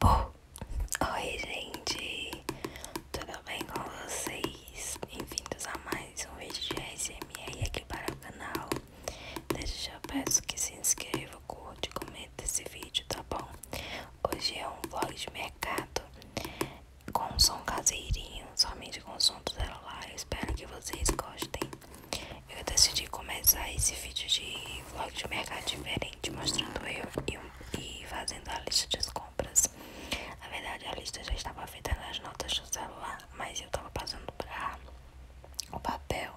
Bom, oi gente, tudo bem com vocês? Bem-vindos a mais um vídeo de ASMR aqui para o canal. Desde já peço que se inscreva, curte, comenta esse vídeo, tá bom? Hoje é um vlog de mercado com som caseirinho, somente com som do celular. espero que vocês gostem. Eu decidi começar esse vídeo de vlog de mercado diferente mostrando eu e, fazendo a lista de compras. Na verdade, a lista já estava feita nas notas do celular, mas eu estava passando para o papel.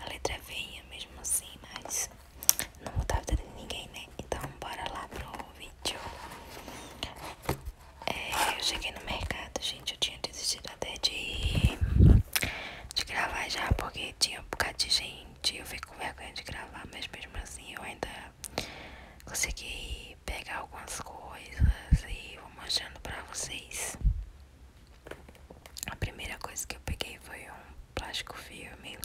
A letra é feia mesmo assim, mas não mudava de ninguém, né? Então, bora lá pro vídeo. É, eu cheguei no mercado, gente. Eu tinha desistido até de, de gravar já, porque tinha um bocado de gente gente, eu fico com vergonha de gravar, mas mesmo assim eu ainda consegui pegar algumas coisas e vou mostrando pra vocês. A primeira coisa que eu peguei foi um plástico filme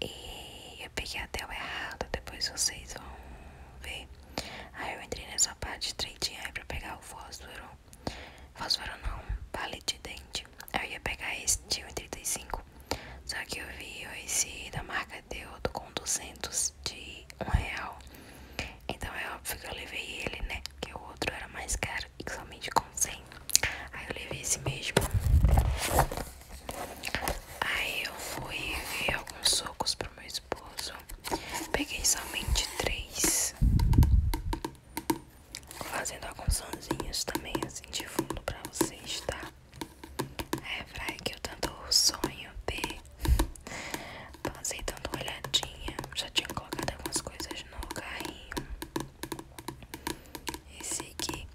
e eu peguei até o errado, depois vocês vão ver. Aí eu entrei nessa parte estreitinha aí pra pegar o fósforo Fósforo não, vale de dente. Eu ia pegar esse de 1,35. Só que eu vi esse da marca Deodo com 200 de 1 real. Então é óbvio que eu levei ele, né? que o outro era mais caro e somente com 100. Aí eu levei esse mesmo. Aí eu fui ver alguns socos pro meu esposo. Peguei somente três. Fazendo alguns sonzinhos também assim de fundo pra vocês, tá? É praia que eu tanto sonho ter. Passei dando uma olhadinha. Já tinha colocado algumas coisas no carrinho. Esse aqui,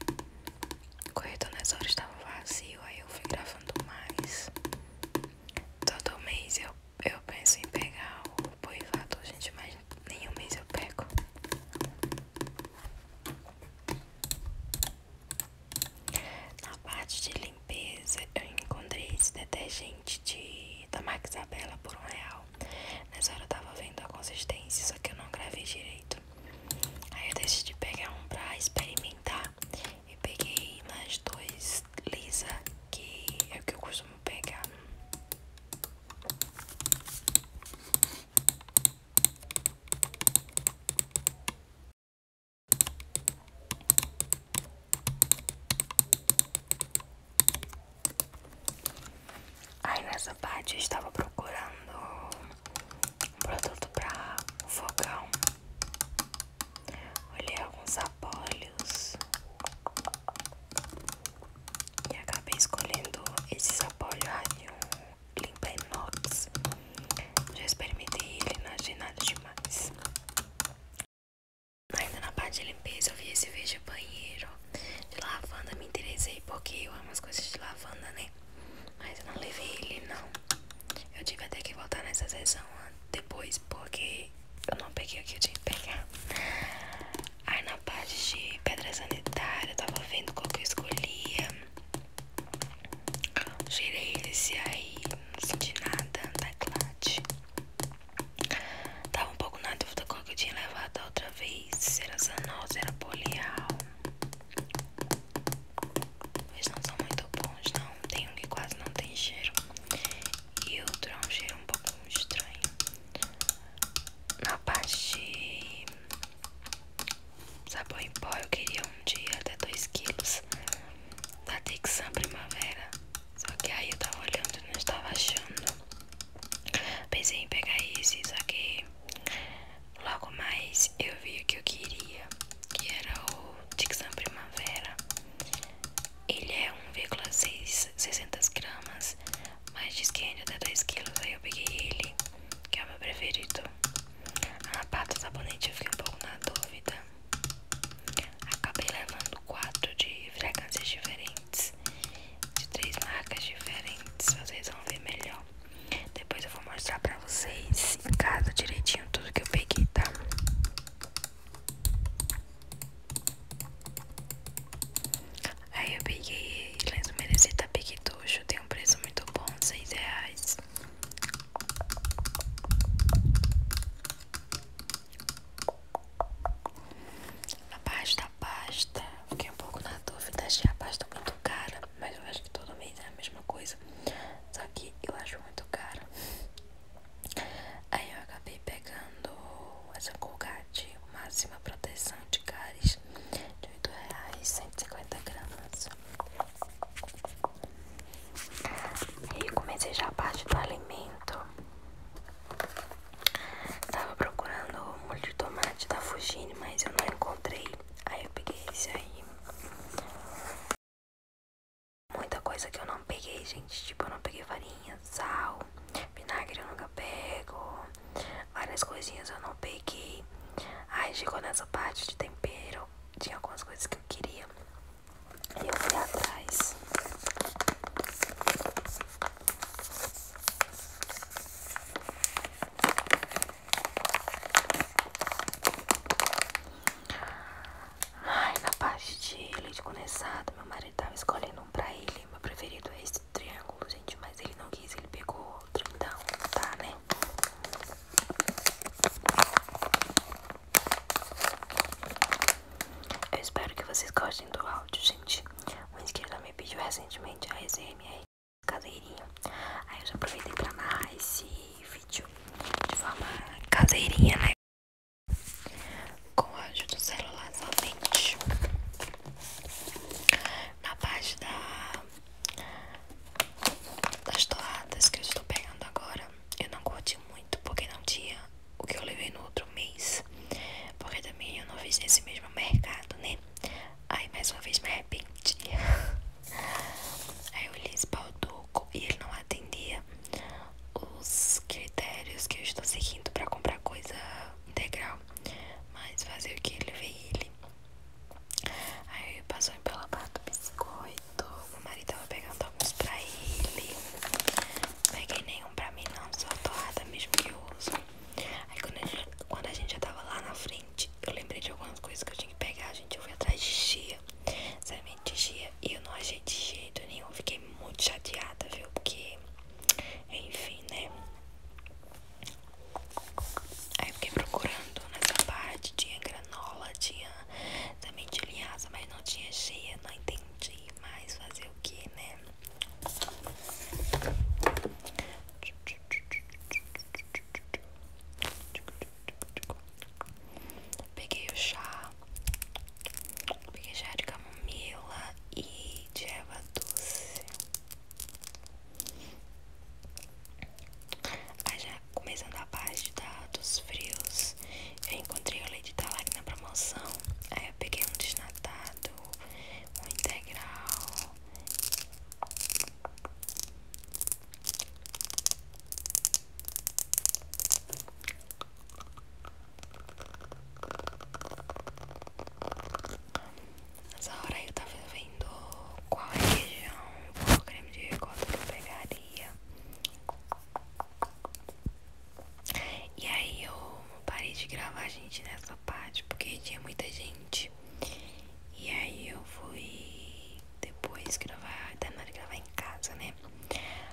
o nas horas hora estava vazio, aí eu fui gravando mais. Todo mês eu, eu penso em pegar poivado, gente, mas nenhum mês eu pego. Na parte de limpeza, eu encontrei esse detergente de, da marca por um real. Nessa hora eu tava vendo a consistência, só que eu não gravei direito. Aí eu decidi pegar um pra experimentar. E peguei mais dois lisa, que é o que eu costumo Vou pegar. Aí nessa parte eu estava procurando um produto para o fogão. Olhei alguns sapólios e acabei escolhendo esse sabor rádio Limpa Inox. Já experimentei ele, não achei nada demais. Ainda na parte de limpeza, eu vi esse vídeo banheiro de lavanda. Me interessei porque eu amo as coisas de lavanda, né? Mas eu não levei ele, não. Eu tive até que voltar nessa sessão depois porque eu não peguei o que eu tinha que pegar. Aí na parte de pedra sanitária, eu tava vendo qual que eu escolhia. Girei esse aí, não senti nada da tá Clade. Tava um pouco na dúvida qual que eu tinha levado a outra vez. Se era Zanol, se era Polial. Mas não são muito bons, não. Tem um que quase não tem cheiro. E outro é um cheiro um pouco estranho. Na parte sabão em pó, eu queria um dia até 2 quilos tá da Dixon Primavera. Só que aí eu tava olhando e não estava achando. Pensei em pegar esse, só que logo mais eu vi o que eu queria, que era o Dixon Primavera. Ele é 1,600 gramas, mas diz que ainda dá 2 quilos. Aí eu peguei ele, que é o meu preferido. A pata do tá sabonete eu fiquei um pouco na dúvida. Acabei levando 4 de fragrâncias diferentes, de três marcas diferentes. Vocês vão ver melhor. Depois eu vou mostrar pra vocês em casa direitinho tudo que eu peguei, tá? Aí eu peguei lenço merecita tá piquetucho, tem um preço muito bom, 6 reais. A pasta, a pasta, fiquei um pouco na dúvida, achei a pasta muito cara, mas eu acho que todo mês é a mesma coisa, só que eu acho muito cara. Aí eu acabei pegando pagando essa colgate máxima proteção de caris de R$ 8,150 gramas. E comecei já a parte do alimento. Tava procurando o molho de tomate da Fugine, mas eu não encontrei. Aí eu peguei esse aí. Muita coisa que eu não peguei, gente. Tipo, eu não peguei farinha, sal, vinagre eu nunca pego, várias coisinhas eu não peguei. Aí chegou nessa parte de tempero, tinha algumas coisas que eu queria. E eu fui atrás. Ai, na parte de leite condensado, meu marido tava escolhendo um pra ele. Meu preferido é esse esse triângulo, gente, mas ele não quis, ele pegou outro, então tá, né? Eu espero que vocês gostem do áudio, gente. um inscrito me pediu recentemente a ASMR caseirinho. Aí eu já aproveitei pra narrar esse vídeo de forma caseirinha, né? com o ajuda do celular somente. Na parte da, das torradas que eu estou pegando agora, eu não curti muito porque não tinha o que eu levei no outro mês. Porque também eu não fiz nesse mesmo mercado, né? Aí mais uma vez me arrependi. Aí eu li esse balduco e ele não atendia os critérios que eu estou seguindo para comprar coisa integral. Mas fazer o que? Ele veio ele. Aí passou pela barra do biscoito. o marido tava pegando alguns pra ele. não Peguei nenhum pra mim, não. Só torrada mesmo que eu uso. Aí quando a, gente, já tava lá na frente, eu lembrei de algumas coisas que eu tinha que pegar. a Gente, eu fui atrás de Gia, Semente Gia E eu não achei de jeito nenhum. Fiquei muito chateada, viu? Porque enfim, né? Aí eu fiquei procurando nessa parte, tinha granola, tinha também de linhaça, mas não tinha cheia, não entendi mais fazer o que, né? Peguei o chá, Peguei chá de camomila e de erva doce. Aí ah, já começando a parte da, dos frios, eu encontrei o leite talari na promoção. Aí eu peguei um desnatado, um integral. Nessa hora eu tava vendo qual região o creme de ricota que eu pegaria. E aí eu parei de gravar a gente nessa parte porque tinha muita gente. E aí eu fui depois gravar, terminar de gravar em casa, né?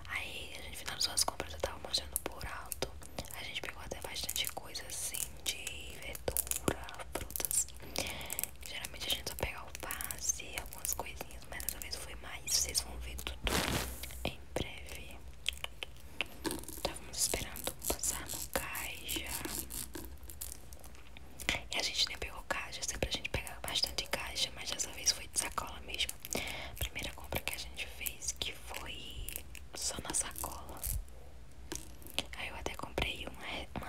Aí a gente finalizou as compras, eu tava mostrando por alto. A gente pegou até bastante coisa assim de verdura, frutas. Geralmente a gente só pega o alface e algumas coisinhas, mas dessa vez foi mais. Vocês vão ver tudo em breve. Estávamos esperando passar no caixa. E a gente nem pegou caixa, sempre assim, a gente pegava bastante caixa, mas dessa vez foi de sacola mesmo primeira compra que a gente fez que foi só na sacola. Aí eu até comprei uma,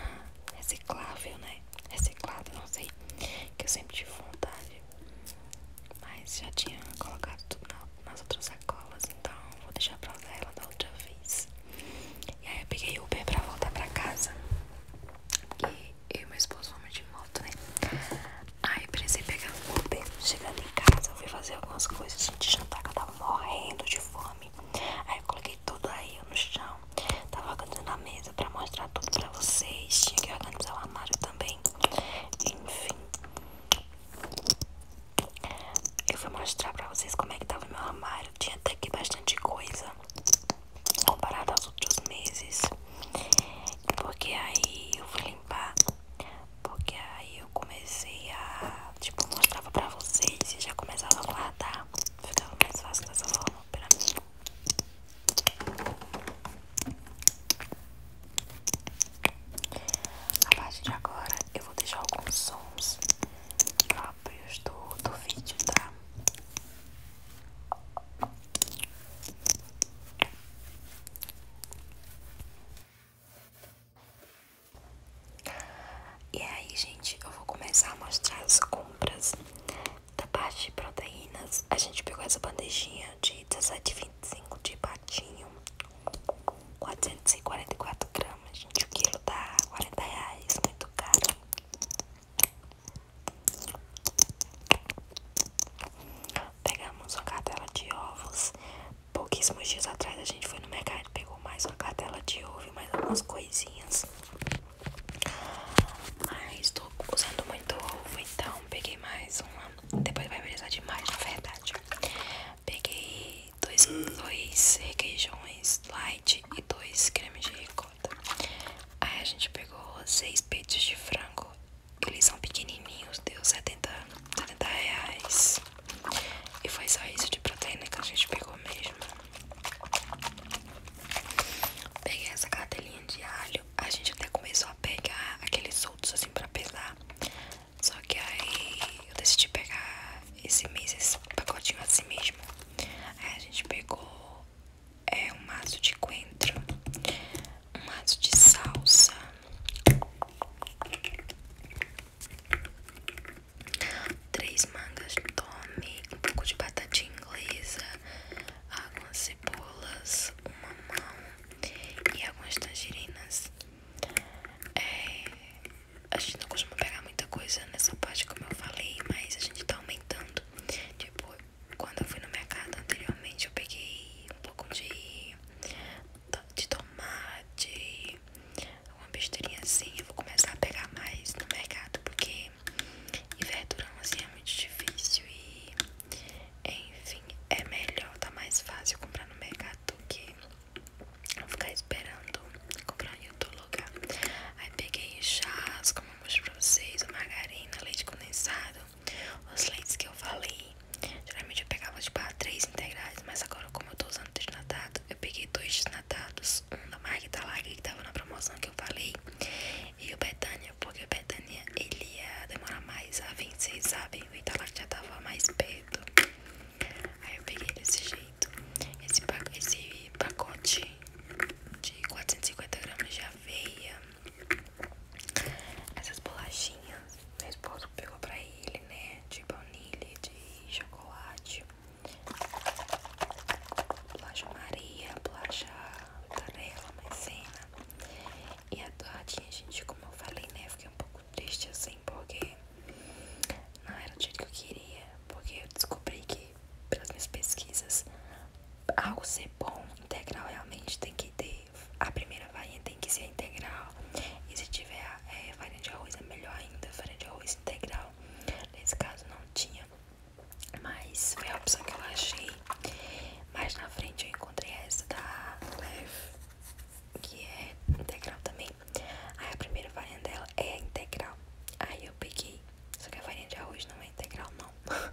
reciclável, né? Reciclada, não sei. Que eu sempre tive vontade. Mas já tinha colocado tudo nas outras sacolas. Então vou deixar pra usar ela da outra vez. E aí eu peguei Uber pra voltar pra casa. E eu e meu esposo vamos de moto, né? Aí precisei pegar um Uber. Chegando em casa, eu fui fazer algumas coisas de jantar que eu tava morrendo de fome. Aí eu coloquei tudo aí no chão. Tava organizando a mesa pra mostrar tudo pra vocês. Tinha que organizar o armário também. Enfim. Eu vou mostrar pra vocês como é que tava o meu armário. Tinha até aqui bastante coisa comparado aos outros meses. Porque aí eu fui limpar porque aí eu comecei a, tipo, mostrava pra vocês e já começava a tá Ficava mais fácil dessa forma pra mim. A partir de agora eu vou deixar alguns sons próprios do, do vídeo, tá? E aí, gente, eu vou começar a mostrar as compras da parte de proteínas. A gente pegou essa bandejinha de 17,25 de patinho, 444 gramas, gente, o quilo dá tá 40 reais, muito caro. Pegamos uma cartela de ovos pouquíssimos dias atrás a gente foi no mercado e pegou mais uma cartela de ovo e mais algumas coisinhas. Mas tô usando muito ovo, então peguei mais uma. Depois vai precisar de mais, na verdade. Peguei dois, dois requeijões light e dois cremes de ricota. Aí a gente pegou seis peitos de frango eles são pequenininhos, deu 70, 70 reais. E foi só isso de proteína que a gente pegou mesmo. Peguei essa cartelinha de alho. A gente até começou a pegar aqueles outros assim pra pesar. Só que aí eu decidi pegar esse mês, esse pacotinho assim mesmo. Aí a gente pegou é, um maço de coentro um maço de salsa, três mangas de tome, um pouco de batatinha inglesa, algumas cebolas, uma mão e algumas tangerinas. É, a gente não costuma pegar muita coisa nessa parte, como eu falei, mas a gente tá aumentando. Tipo, quando eu fui no mercado anteriormente, eu peguei um pouco de de tomate, alguma besteirinha assim. Eu vou começar a pegar mais no mercado, porque em verdurão assim é muito difícil e, enfim, é melhor, tá mais fácil comprar no mercado do que ficar esperando comprar em outro lugar. Aí peguei chás, como eu mostro pra vocês, margarina, leite condensado. Os lentes que eu falei, geralmente eu pegava tipo ah, três integrais, mas agora como eu tô usando desnatado, eu peguei dois desnatados, um da marca Italaga que tava na promoção que eu falei, e o Betânia, porque o Betânia ele ia demorar mais a vencer, sabe? O Italaga já tava mais perto. Aí eu peguei desse jeito. Esse, pac esse pacote de 450 gramas de aveia, essas bolachinhas, meu esposo pegou pra ele, né? De baunilha, de chocolate, bolacha Maria, bolacha Tarela, maisena. E a torradinha, gente, como eu falei, né? Fiquei um pouco triste assim, porque não era o jeito que eu queria. Porque eu descobri que, pelas minhas pesquisas, algo ser bom integral realmente tem que ter a primeira varinha tem que ser integral. E se tiver varinha é, de arroz, é melhor ainda. varinha de arroz integral. Nesse caso não tinha. Mas foi a opção que eu achei. Mais na frente eu encontrei essa da Leve, que é integral também. Aí a primeira varinha dela é integral. Aí eu peguei. Só que a farinha de arroz não é integral, não.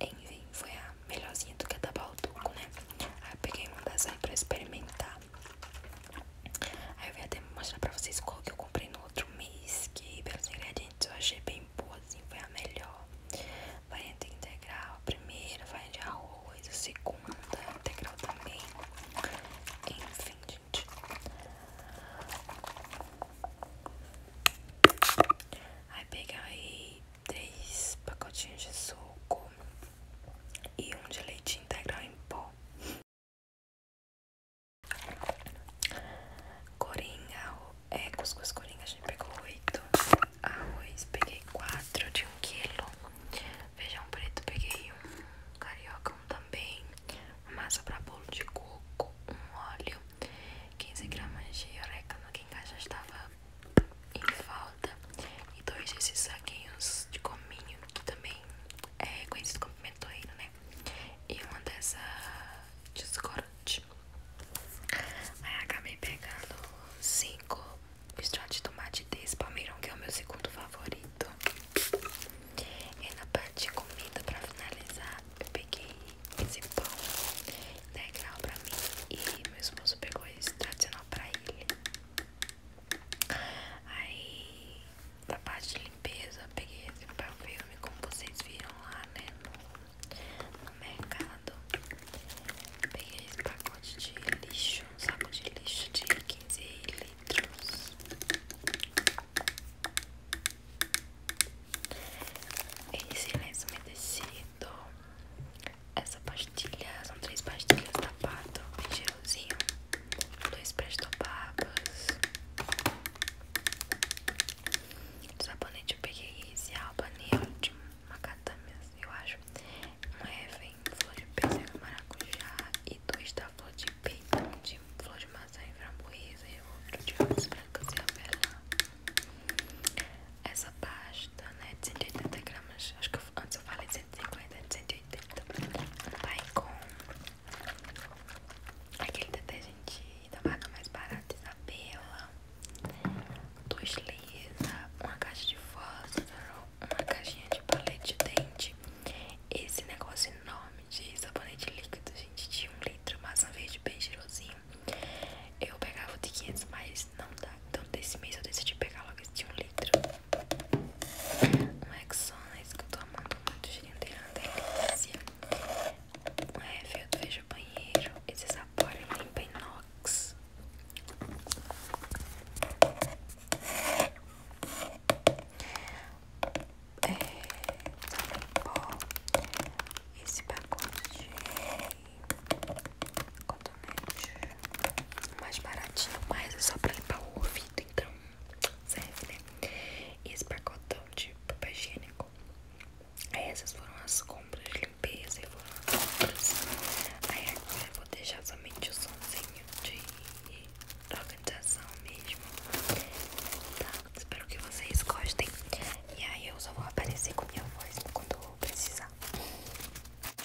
Enfim, foi a melhorzinha do que a da Balduco, né? Aí eu peguei uma das aí pra experimentar. Aí eu vim até mostrar pra vocês qual que eu comprei no outro mês. Que pelos ingredientes eu achei bem boa, assim, foi a melhor. Variante integral, a primeira, variante de arroz, a segunda, integral também. Enfim, gente. Aí peguei três pacotinhos de suco e um de leite integral em pó. Corinha, é, cuscuz corinha, a gente pegou oito. Arroz, peguei quatro de um quilo. Feijão preto, peguei um carioca, um também. Massa para bolo de coco, um óleo, 15 gramas de no que em casa já estava em falta e dois desses saquinhos de cominho que também é com como pimentoeiro, né? E uma dessa descorante. Aí acabei pegando cinco extrato de tomate desse palmeirão, que é o meu segundo favorito. E na parte de comida, para finalizar, eu peguei esse pão legal pra mim. E meu esposo pegou esse tradicional pra ele. Aí, pra parte de limpeza, peguei esse filme como vocês viram lá, né? No, mercado. peguei esse pacote de lixo, um saco de lixo de 15 litros. Esse lenço umedecido essa pastilha, são três pastilhas da Pato em gelzinho, dois prestopapos. Sabonete eu peguei esse albanil de macadâmias, eu acho. Um é vem flor de pêssego, maracujá e dois da flor de peito, de flor de maçã e framboesa e outro de uvas e avelã essa pasta, né, de 180 gramas, acho que antes eu falei de 150, de 180, vai com aquele gente da marca mais barata, Isabela, dois lisa, uma caixa de fósforo, uma caixinha de palete de dente, esse negócio enorme de sabonete líquido, gente, de um litro, maçã verde bem cheirosinho. Eu pegava o de 500, mas não dá. Então desse mês eu decidi pegar logo esse de um litro. É um Exonas né? que eu tô amando muito, cheirinho dele é delícia. Um F do Veja Banheiro. Esse sabor é limpa inox. É, pó. Esse pacote cotonete mais baratinho, mas é só pra limpar o ouvido, então serve, né? E esse pacotão de papel higiênico. Aí essas foram as compras de limpeza Aí agora eu vou deixar somente o somzinho de organização mesmo. Tá? Espero que vocês gostem. E aí eu só vou aparecer com minha voz quando eu precisar.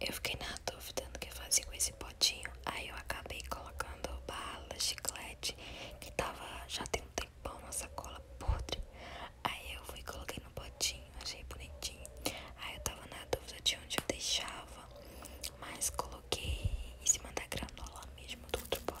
Eu fiquei na dúvida do que fazer com esse potinho, aí eu acabei colocando bala, chiclete, que tava já tem um tempão na sacola podre. Aí eu fui coloquei no potinho, achei bonitinho. Aí eu tava na dúvida de onde eu deixava mas coloquei em cima da granola mesmo do outro potinho.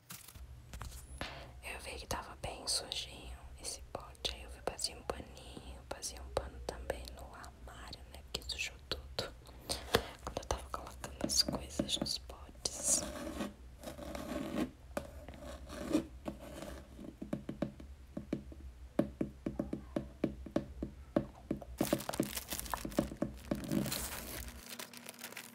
Eu vi que tava bem sujinho esse pote. Aí eu vi, passei um paninho, passei um pano também no armário, né? Que sujou tudo. Quando eu tava colocando as coisas nos potes.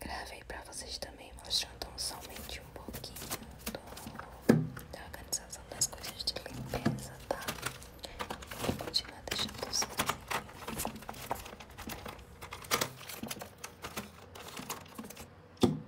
Gravei pra vocês também, mostrando somente um pouquinho da organização das coisas de limpeza, tá? Vou continuar deixando vocês. Assim.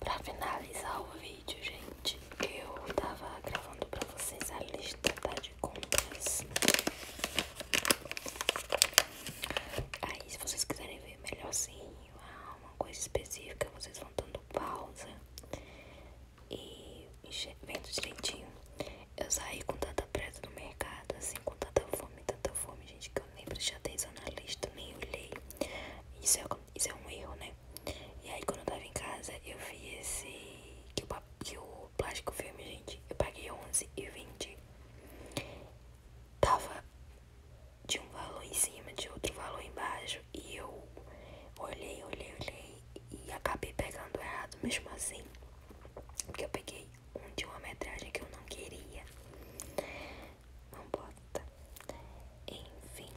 Para finalizar o vídeo, gente, eu tava gravando para vocês a lista tá, de compras. Aí, se vocês quiserem ver melhor, assim uma coisa específica, vocês vão dando pausa e vendo direitinho. Eu saí com tanta pressa no mercado, assim, com tanta fome, tanta fome, gente, que eu nem prestei atenção na lista, nem olhei. Isso é, isso é um erro, né? E aí, quando eu tava em casa, eu vi esse. que o, que o plástico filme, gente, eu paguei 11 e vendi. Tava de um valor em cima, de outro valor embaixo, e eu olhei, olhei, olhei e acabei pegando errado mesmo assim. Porque eu peguei um de uma metragem que eu não queria. Não bota. Enfim.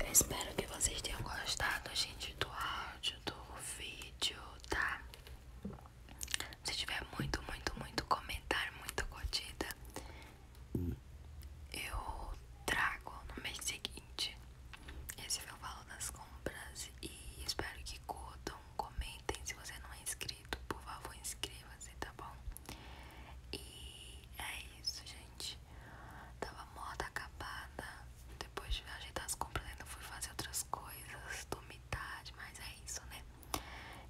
Eu espero que vocês tenham gostado, gente, do áudio, do vídeo, tá? Se tiver muito, muito, muito comentário, muito curtida, hum. eu trago no mês seguinte. Esse foi o valor das compras e espero que curtam, comentem. Se você não é inscrito, por favor, inscreva-se, tá bom? E é isso, gente. Tava morta, acabada. Depois de ajeitar as compras, ainda fui fazer outras coisas. Dormi tarde, mas é isso, né?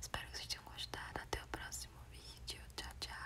Espero que vocês tenham gostado. Até o próximo vídeo. Tchau, tchau.